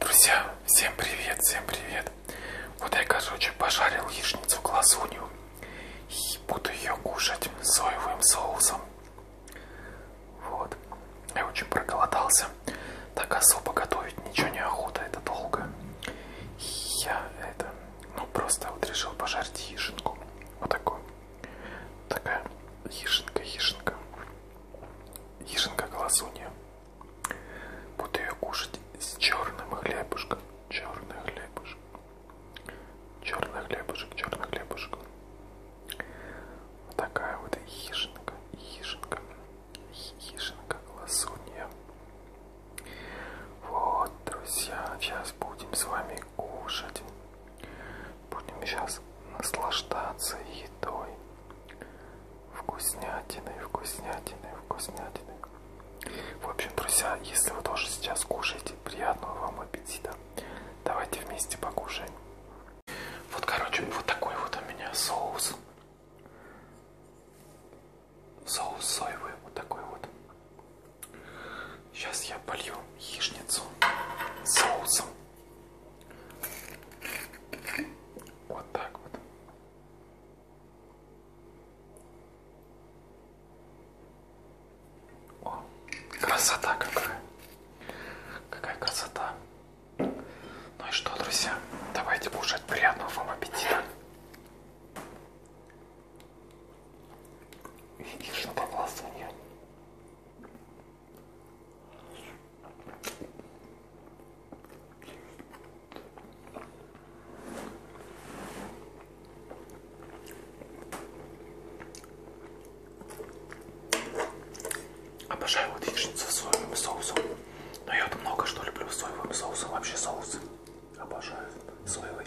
Друзья, всем привет, всем привет. Вот я, короче, пожарил яичницу глазунью и буду ее кушать соевым соусом. Вот. Я очень проголодался. Так особо готовить ничего не охота, это долго. И я это, ну просто вот решил пожарить яичинку. Вот такую. Такая яичинка, яичинка. Ежинка голосунья. Буду ее кушать с черным хлебушком. Черный хлебушек. Черный хлебушек, черный хлебушек. Вот такая вот ежинка, ежинка, ежинка голосунья. Вот, друзья, сейчас будем с вами кушать. Будем сейчас наслаждаться едой. Вкуснятины, вкуснятины, вкуснятины. В общем, друзья, если вы тоже сейчас кушаете, приятного вам аппетита. Давайте вместе покушаем. Вот, короче, вот такой вот у меня соус. Соус соевый, вот такой вот. Сейчас я полью яичницу соусом. Вот так вот. О, красота какая. Какая красота. Ну и что, друзья, давайте кушать. Приятного вам аппетита. И что попался нет. Обожаю вот яичницу с соевым соусом. Но я вот много что люблю с соевым соусом. Вообще соусы обожаю соевый.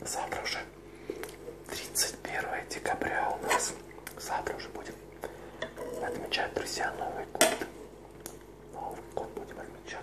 Завтра уже 31 декабря у нас. Завтра уже будем отмечать, друзья, Новый год. Новый год будем отмечать.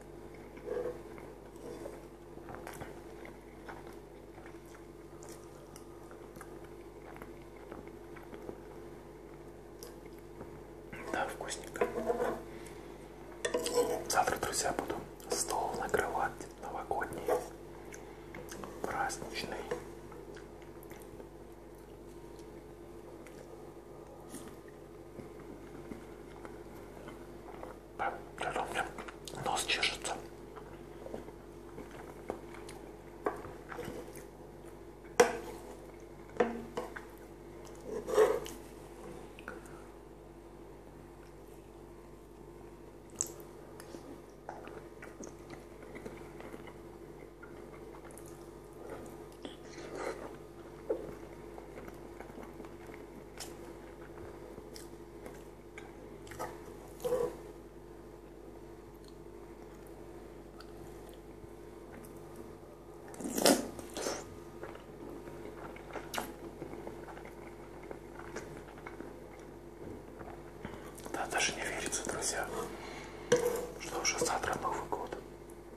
Да, вкусненько. Завтра, друзья, буду стол накрывать новогодний, праздничный. Даже у меня нос чешется. Да, даже не верится, друзья, что уже завтра Новый год.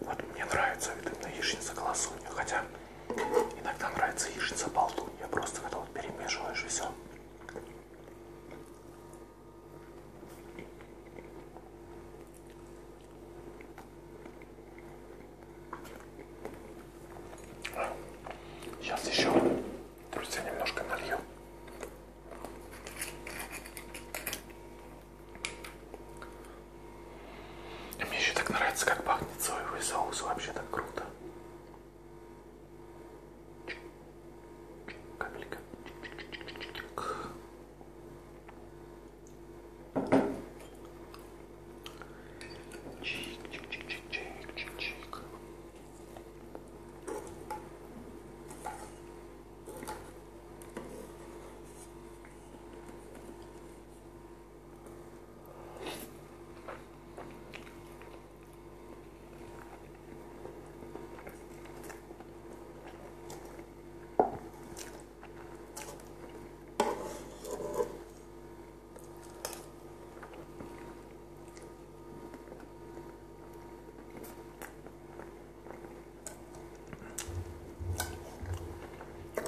Вот мне нравится видно яичница колосунья, хотя иногда нравится яичница болтунья, просто когда вот перемешиваешь и все. Сейчас еще, друзья, немножко налью. И мне еще так нравится, как пахнет соевый соус, вообще так круто. Капелька. Чик, чик, чик, чик, чик, чик, чик.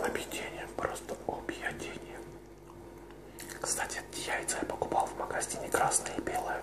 Объедение, просто объедение. Кстати, эти яйца я покупал в магазине красные и белые.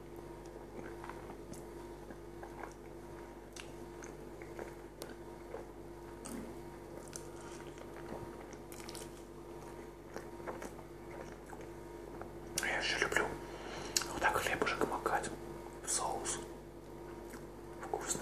Я еще люблю вот так хлебушек макать в соус. Вкусно.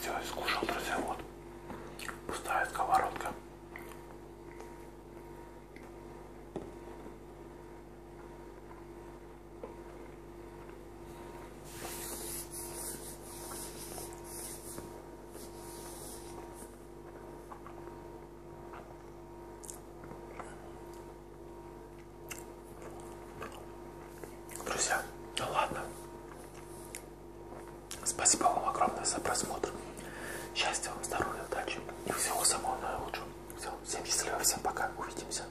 Все, искушал, друзья, вот пустая сковородка. Друзья, ну ладно. Спасибо вам огромное за просмотр. Счастья вам, здоровья, удачи и всего самого наилучшего. Все, всем счастливо, всем пока, увидимся.